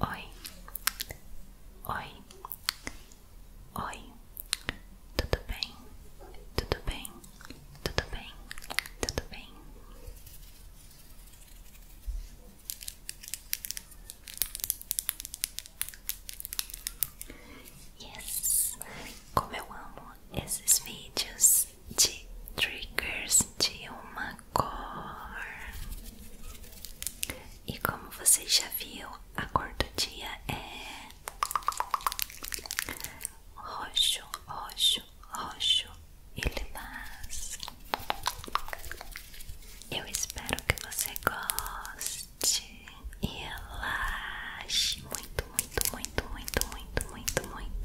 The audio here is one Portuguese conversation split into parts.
Oi, oi, oi, tudo bem, tudo bem, tudo bem, tudo bem. Yes, como eu amo esses vídeos de triggers de uma cor. E como você já viu, a cor do dia é roxo, roxo, roxo e lilás. Eu espero que você goste e relaxe muito, muito, muito, muito, muito, muito, muito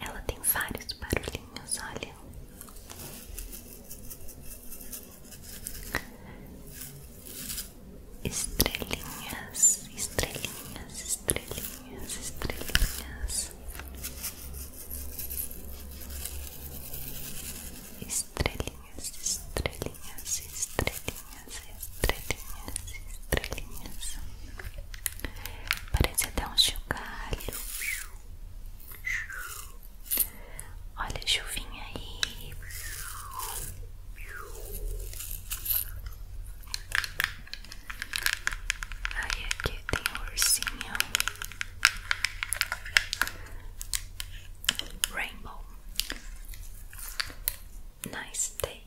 Ela tem vários barulhinhos, olha. Estrelinhas, estrelinhas, estrelinhas, estrelinhas. Estrelinhas, estrelinhas, estrelinhas, estrelinhas, estrelinhas. Parece até um chocalho. Olha chuvinha aí. Aí aqui tem o um Rainbow. Nice day.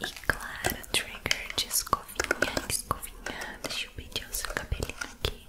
E claro, trigger de escovinha, escovinha. Deixa eu pedir o seu cabelinho aqui.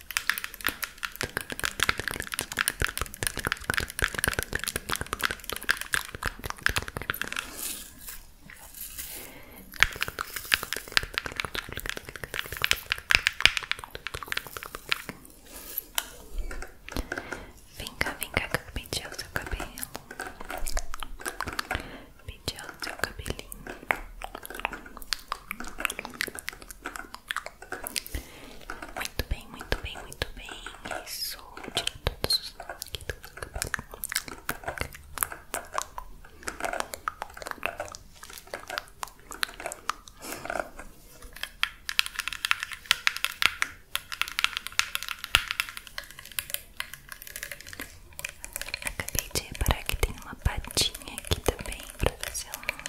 Vem cá, vem cá que o seu cabelo Pedi o seu cabelinho muito bem, muito bem, muito bem. Isso, tira todos os aqui Acabei de reparar que tem uma patinha aqui também pra fazer um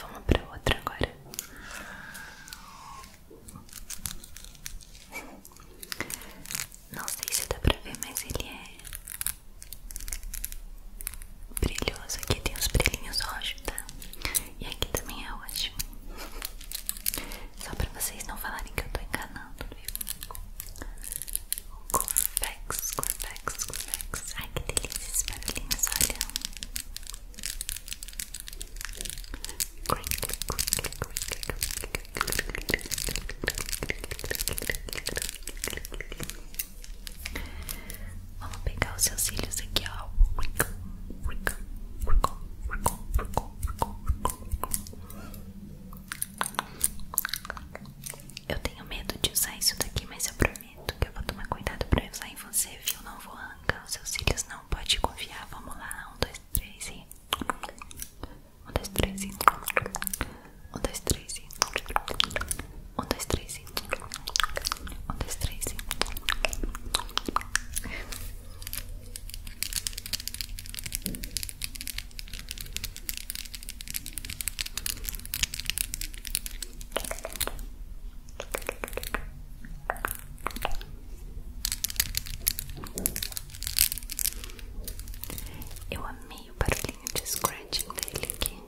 Vamos para outro agora. Não sei se dá pra ver, mas ele é brilhoso. Aqui tem os brilhinhos roxos, tá? E aqui também é roxo. Só pra vocês não falarem que eu tô enganando, viu? Corvex, Corvex, Corvex. Ai que delícia esse barulhinho, olha. Vamos pegar os seus cílios aqui, ó. Eu tenho medo de usar isso daqui, mas eu prometo que eu vou tomar cuidado pra usar em você, viu? Não vou anca os seus cílios, não pode confiar. Vamos lá, um, dois, três e. Um, dois, três e. Um, dois, três e. Um, dois, três e. Um, dois, três e. Um, eu amei o barulhinho de scratching dele aqui.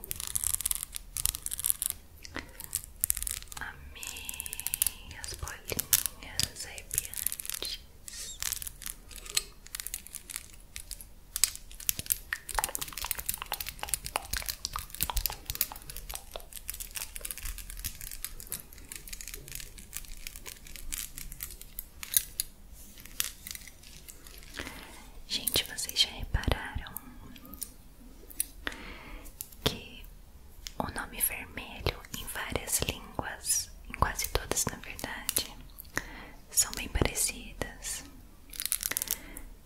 Amei as bolinhas arrepiantes. Gente, vocês já repararam que o nome vermelho em várias línguas, em quase todas na verdade, são bem parecidas.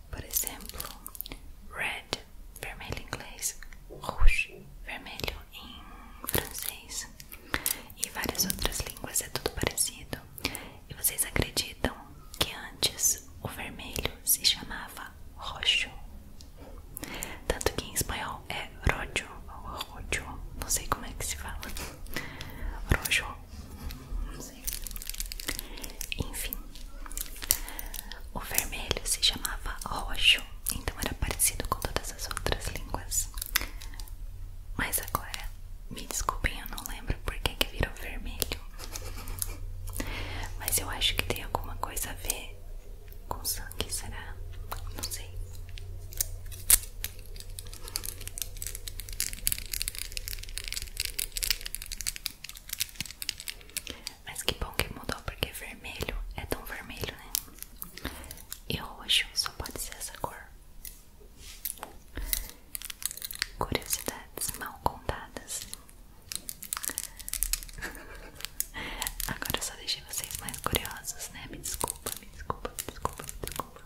Por exemplo, red, vermelho em inglês, rouge, vermelho em francês e várias outras línguas é tudo parecido. E vocês acreditam que antes o vermelho se chamava roxo? Tanto que em espanhol é rojo ou rojo, não sei como é que se fala. Rojo, não sei. Enfim, o vermelho se chamava roxo, então era parecido com todas as outras línguas. Mas agora, me desculpem, eu não lembro porque que virou vermelho. Mas eu acho que tem alguma coisa a ver com sangue, será? Não sei. Mas que bom que mudou, porque vermelho é tão vermelho, né? E roxo só pode ser essa cor. Curiosidades mal contadas. Agora eu só deixei vocês mais curiosos, né? Me desculpa, me desculpa, me desculpa, me desculpa.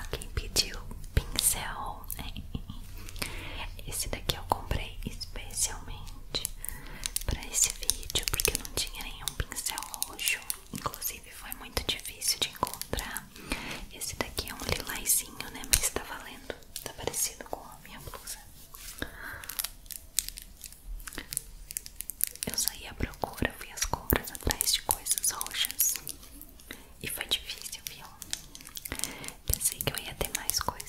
Alguém pediu pincel. Esse daqui eu comprei especialmente para esse vídeo porque não tinha nenhum pincel roxo. Inclusive foi muito difícil de encontrar. Esse daqui é um lilazinho, né? Mas tá valendo. Tá parecido com a minha blusa. Eu saí à procura, vi as compras atrás de coisas roxas. E foi difícil, viu? Pensei que eu ia ter mais coisas.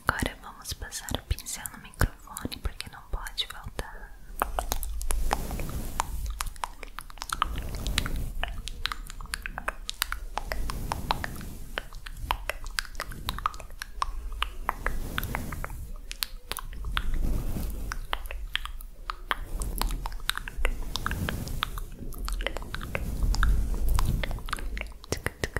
Agora vamos passar o pincel no microfone porque não pode voltar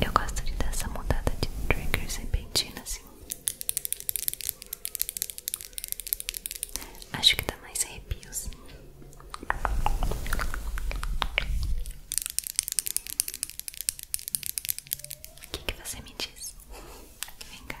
Eu gosto de dar essa mudada de triggers repentina assim. Acho que dá mais arrepios. O que você me diz? Vem cá.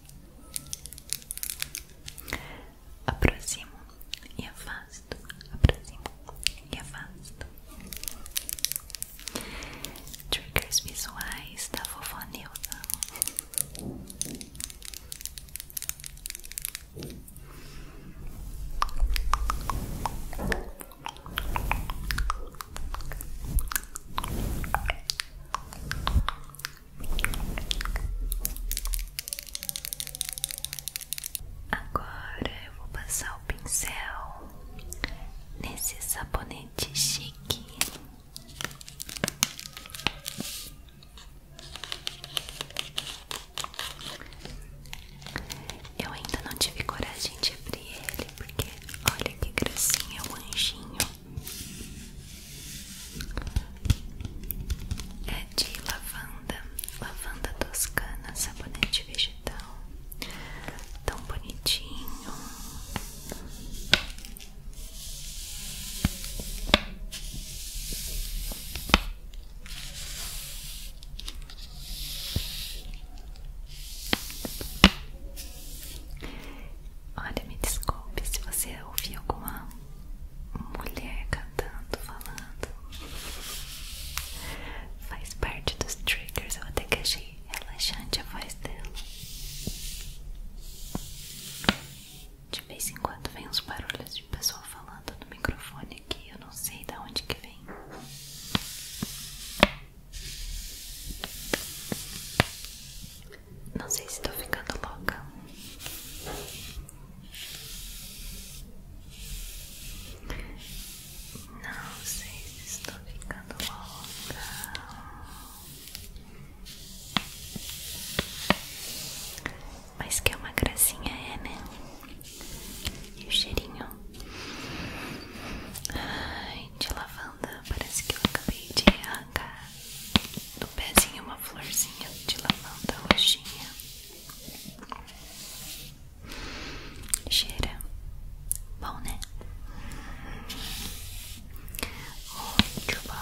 Aproximo e afasto, aproximo e afasto. Triggers visuais da vovó Nilda. Agora eu vou passar o pincel nesse sabonete chique. Eu ainda não tive coragem de abrir ele, porque olha que gracinha, o anjinho. É de lavanda, lavanda toscana, sabonete vegetal, tão bonitinho. Olha, me desculpe se você ouviu alguma mulher cantando, falando. Faz parte dos triggers. Eu até que achei relaxante a voz dela. De vez em quando vem uns barulhos de pessoa falando no microfone que Eu não sei de onde que vem. Não sei se estou ficando louca. Não sei se estou ficando louca. Mas que é uma gracinha, é, né? E o cheirinho Ai, de lavanda. Parece que eu acabei de manga, do pezinho uma florzinha de lavanda roxinha. Cheira bom, né? Muito bom.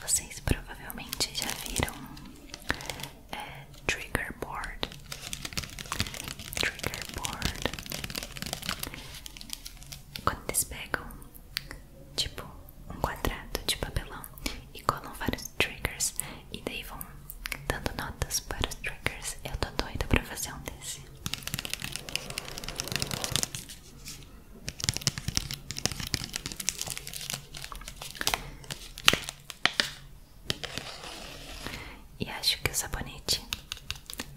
Vocês provavelmente já viram é, Trigger Board. Trigger Board. Quando eles pegam, tipo, um quadrado de papelão e colam vários triggers e daí vão dando notas para os triggers. Eu tô doida para fazer um desse. E acho que o sabonete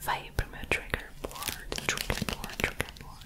vai pro meu trigger board, trigger board, trigger board.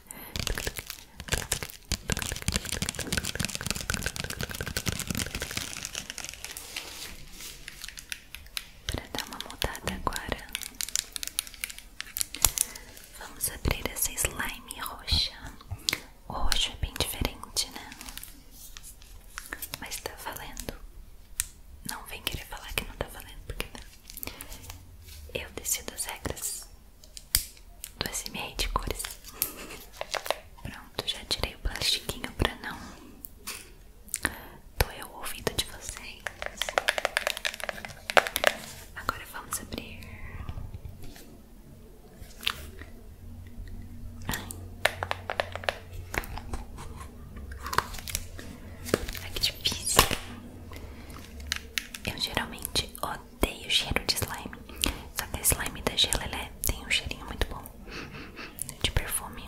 Para dar uma mudada agora, vamos abrir essa slime roxa. O roxo é bem diferente, né? Mas tá falando Não vem querer falar que não tá falando porque não. Eu decido as regras do SMA de cores. Pronto, já tirei o plastiquinho para não doer o ouvido de vocês. Agora vamos abrir. Ai. Ai, que difícil. Eu geralmente odeio odeio o cheiro de slime. Só que slime da Gelelé tem um cheirinho muito bom de perfume.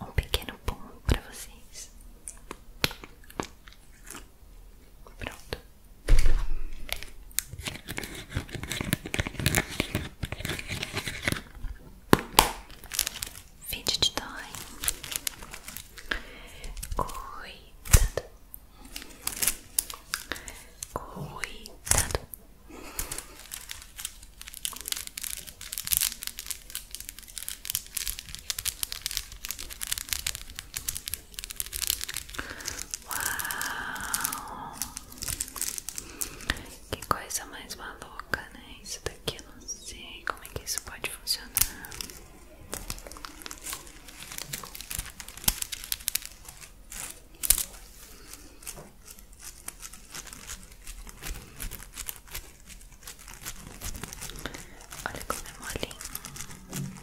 Um pequeno pão para vocês. Pronto. Vídeo de dói. Cuidado. Cuidado. Uau! Que coisa mais maluca, né? Isso daqui eu não sei como é que isso pode funcionar. Olha como é molinho.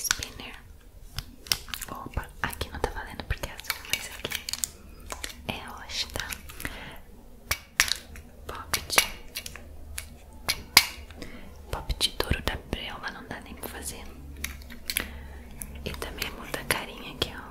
Spinner. Opa, aqui não tá valendo porque é azul, mas aqui é roxa, tá? Popped. Popped duro da Brella, não dá nem pra fazer. E também é muda a carinha aqui, ó.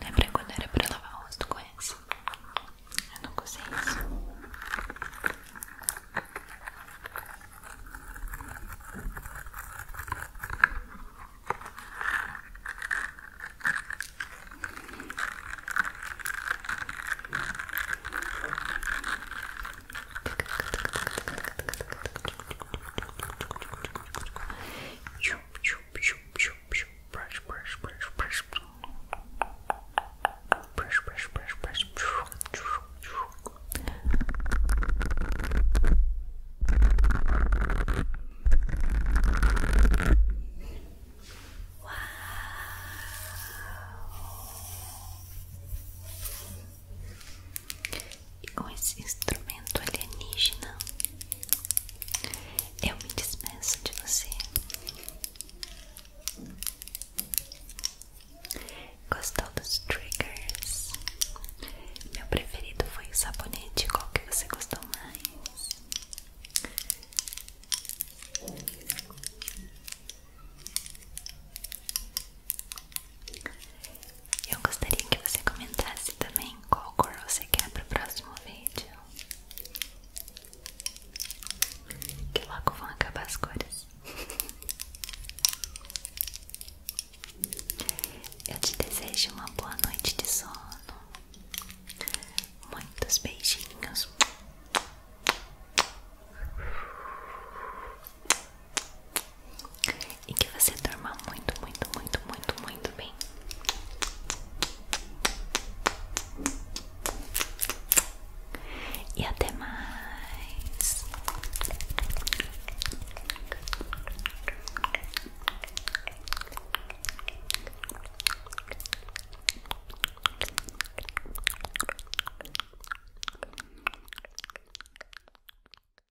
Lembra quando era para lavar o rosto com essa? Eu não usei isso. brush, brush, brush, brush, brush, brush, brush, brush, Wow. E com esse instrumento alienígena, eu me despeço de você. Gostou dos triggers? Meu preferido foi o sabonete. Qual que você gostou mais? Eu gostaria que você comentasse também qual cor você quer para o próximo vídeo. Que logo vão acabar as cores. Eu te desejo uma boa noite de sono. Muitos beijinhos. E que você dorma muito, muito, muito, muito, muito bem. E até mais.